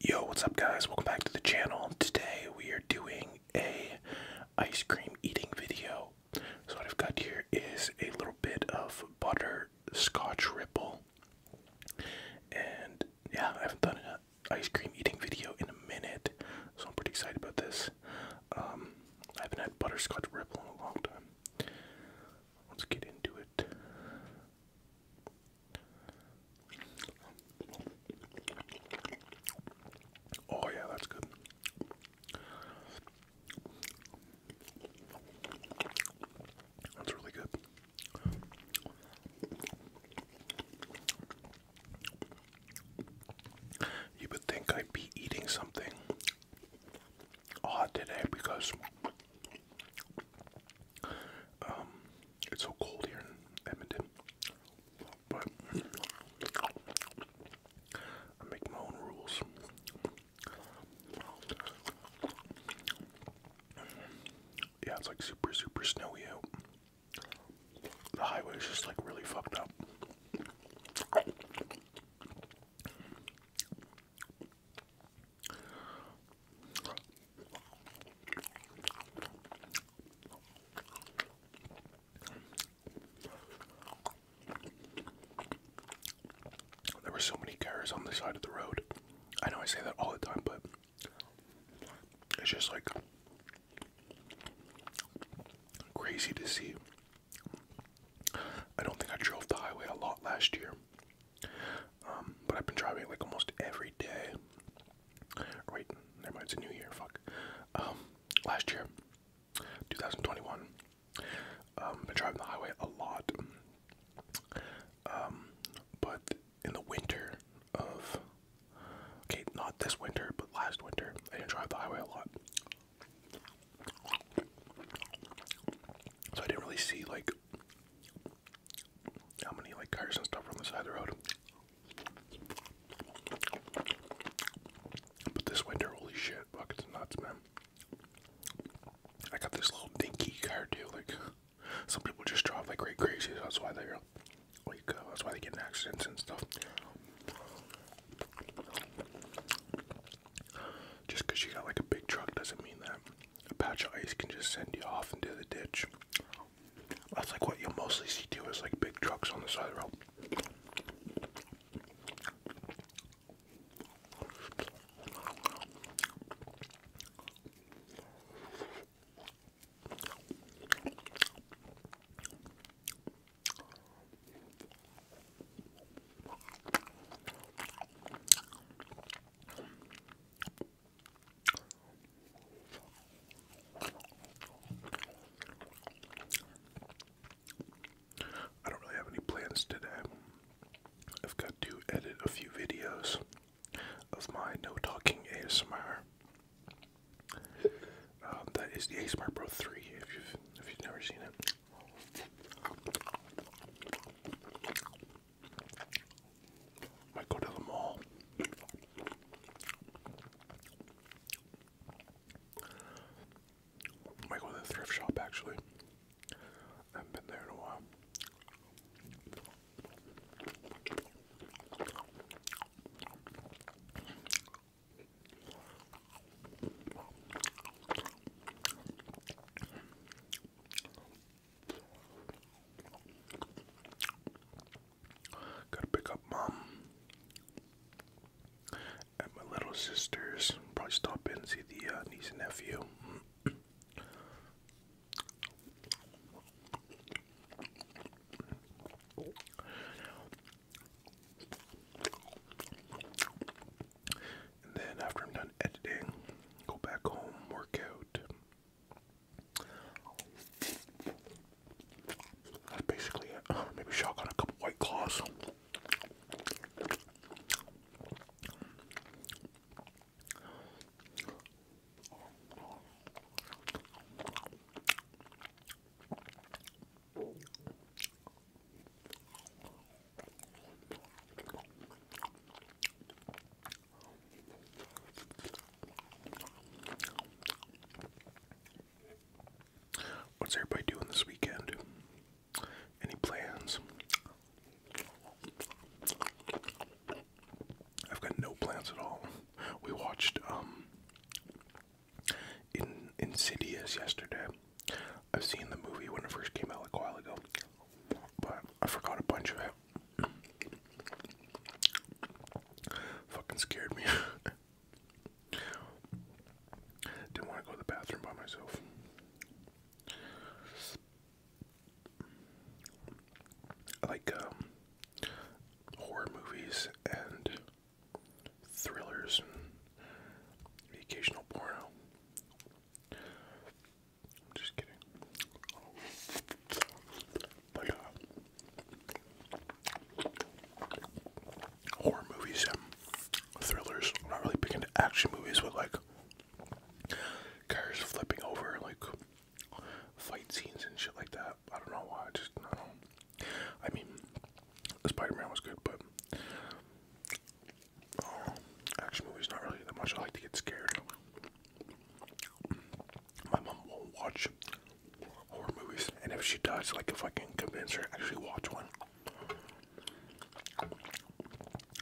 Yo, what's up guys? Welcome back to the channel. Today we are doing a ice cream eating video. So what I've got here is a little bit of butter scotch ripple. And yeah, I haven't done an ice cream eating video in a minute, so I'm pretty excited about this. Um, I haven't had butter scotch ripple in a long time. Let's get into it. Oh, yeah, that's good. That's really good. You would think I'd be eating something odd today because um, it's so cold here in Edmonton, but I make my own rules. Yeah, it's like super, super snowy out. The highway is just like really fucked up. There were so many cars on the side of the road. I know I say that all the time, but it's just like crazy to see. I don't think I drove the highway a lot last year. Um, but I've been driving like almost every day. wait, never mind, it's a new year, fuck. Um, last year, 2021, um, been driving the highway a lot. Um, but in the winter of, okay, not this winter, but last winter, I didn't drive the highway a lot. So I didn't really see like how many like cars and stuff are the side of the road. But this winter, holy shit, buckets and nuts, man. I got this little dinky car too. Like some people just drive like crazy. that's why they're like uh, that's why they get accidents and stuff. Just you got like a big truck doesn't mean that a patch of ice can just send you off into the ditch. That's like what you'll mostly see too is like big trucks on the side of the road. I don't really have any plans today. I've got to edit a few videos of my no talking ASMR. Um, that is the ASMR Pro 3 if you've if you've never seen it. I go to the mall. I go to the thrift shop actually. I have been there in a while. Gotta pick up mom and my little sisters. Probably stop in and see the uh, niece and nephew. And then after I'm done editing, go back home, work out, that's basically it. Uh, maybe shotgun a couple white claws. What's everybody doing this weekend? Any plans? I've got no plans at all. We watched um, in Insidious yesterday. I've seen the movie when it first came out like a while ago, but I forgot a bunch of it. Fucking scared me. Didn't want to go to the bathroom by myself. like um, horror movies and thrillers occasional porno. I'm just kidding. Oh horror movies um, thrillers. I'm not really big into action movies with like cars flipping over, like fight scenes and shit like that. I don't know why. just I don't. Spider-Man was good, but uh, action movies not really that much. I like to get scared. My mom won't watch horror movies, and if she does, like if I can convince her actually watch one,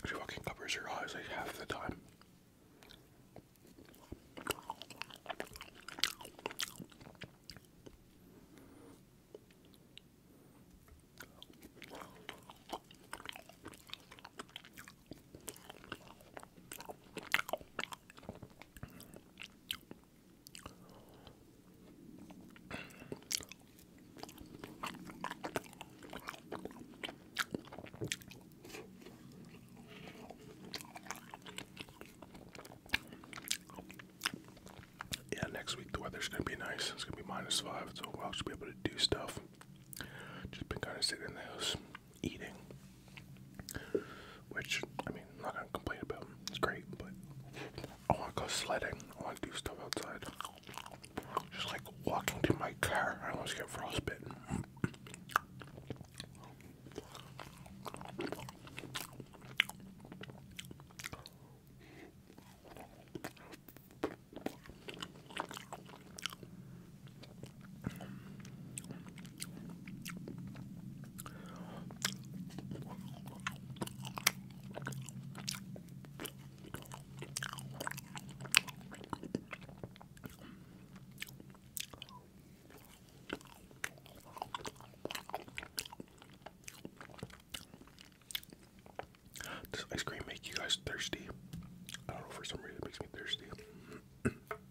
she fucking covers her eyes like half the time. Yeah, next week the weather's gonna be nice. It's gonna be minus five, so I'll just be able to do stuff. Just been kind of sitting in the house eating, which I mean, I'm not gonna complain about. It's great, but I want to go sledding. I want to do stuff outside. Just like walking to my car, I almost get frostbitten. Does ice cream make you guys thirsty? I don't know, for some reason it makes me thirsty.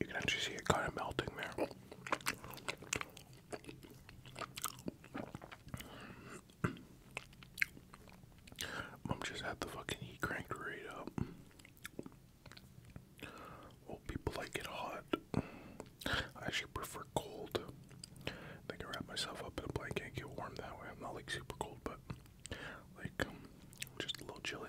You can actually see it kind of melting there. Mom just had the fucking heat cranked right up. Well, people like it hot. I actually prefer cold. I can wrap myself up in a blanket and get warm that way. I'm not like super cold, but like um, just a little chilly.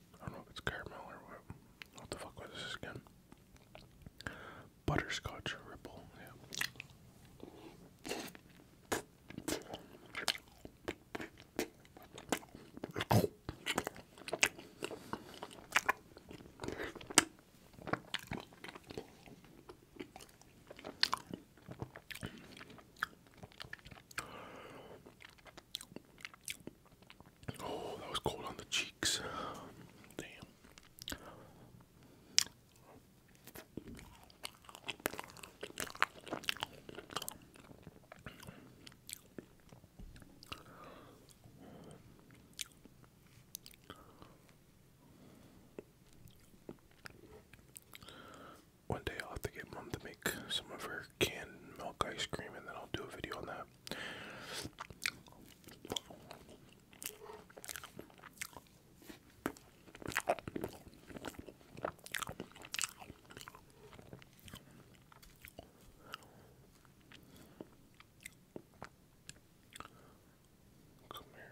I don't know if it's caramel or what. What the fuck was this again? Butterscotch ripple, yeah. Oh, that was cold on the cheeks. Damn one day I'll have to get mom to make some of her canned milk ice cream and then I'll do a video on that. Come here.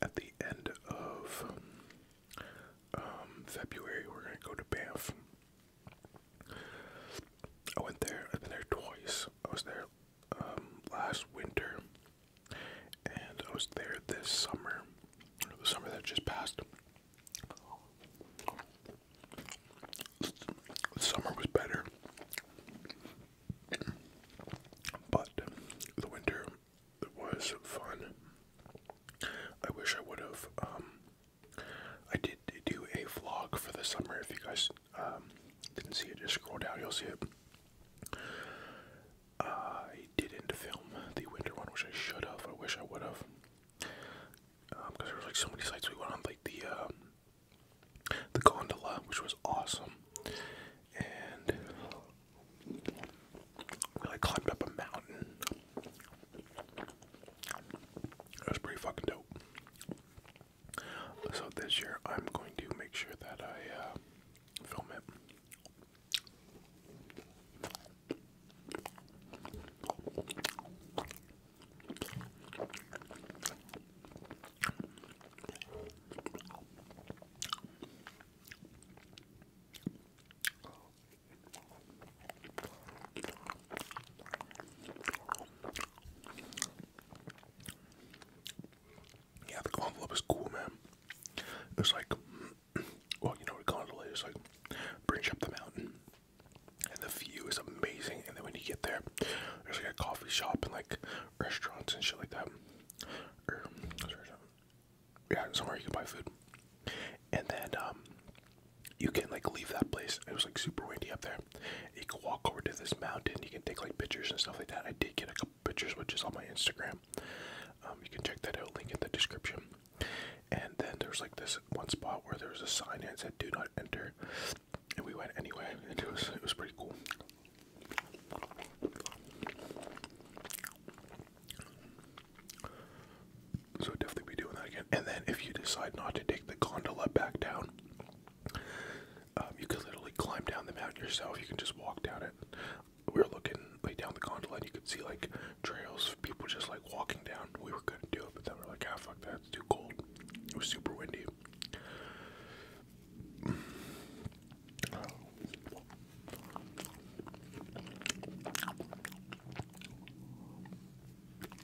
At the end of um, February, we're going to go to Banff I went there. I've been there twice. I was there um, last winter, and I was there this summer, the summer that just passed. summer was better, but the winter it was fun. I wish I would have. Um, I did do a vlog for the summer. If you guys um, didn't see it. Just scroll down, you'll see it. I didn't film the winter one, which I should have. I wish I would have. Because um, like so many sites we went on, like the um, the gondola, which was awesome, and we climbed up a mountain. That was pretty fucking dope. So this year I'm going to make sure that I uh, film it. Yeah, the gondola is cool, man. It's like, well, you know what a gondola is like, brings up the mountain, and the view is amazing. And then when you get there, there's like a coffee shop and like restaurants and shit like that. yeah, somewhere you can buy food, and then um, you can like leave that place. It was like super windy up there, you can walk over to this mountain. You can take like pictures and stuff like that. I did get a couple pictures, which is on my Instagram. Um, you can check that out. Link in the description. And then there's like this one spot where there was a sign that said "Do not enter," and we went anyway, and it was it was pretty cool. So definitely be doing that again. And then if you decide not to take the gondola back down, um, you could literally climb down the mountain yourself. You can just walk down it. We were looking way down the gondola, and you could see like trails of people just like walking down. We were gonna do it, but then we we're like, ah, fuck that. It's too cold. It was super windy.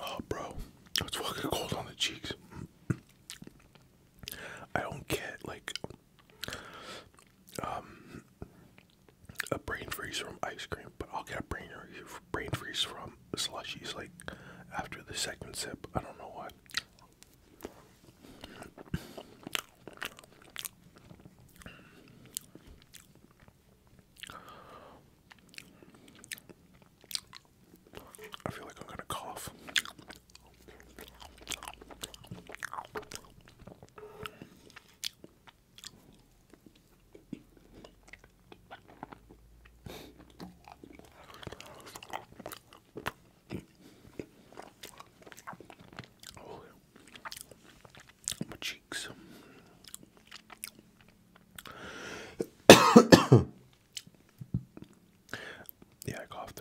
Oh, bro, it's fucking cold on the cheeks. I don't get like um, a brain freeze from ice cream, but I'll get a brain brain freeze from slushies. Like after the second sip, I don't know why. I feel like I'm gonna cough. Oh, cheeks. yeah, I coughed.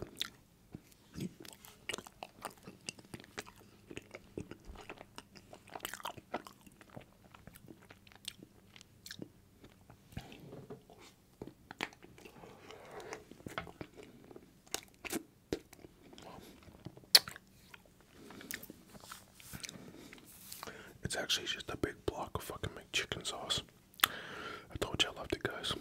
It's actually just a big block of fucking McChicken sauce. I told you I loved it, guys.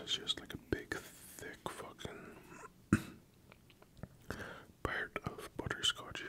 This is just like a big, thick fucking part of butterscotch here.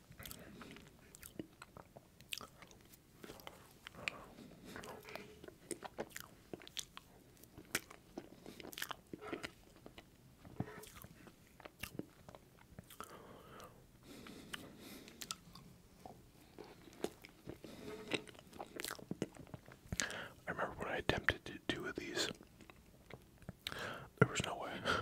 I remember when I attempted to do these, there was no way.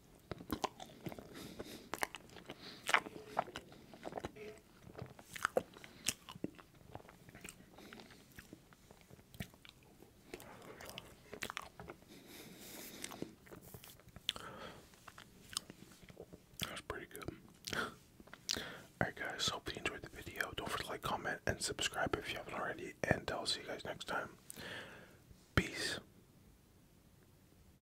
That's pretty good. Alright, guys, hope you enjoyed the video. Don't forget to like, comment, and subscribe if you haven't already. And I'll see you guys next time. Peace.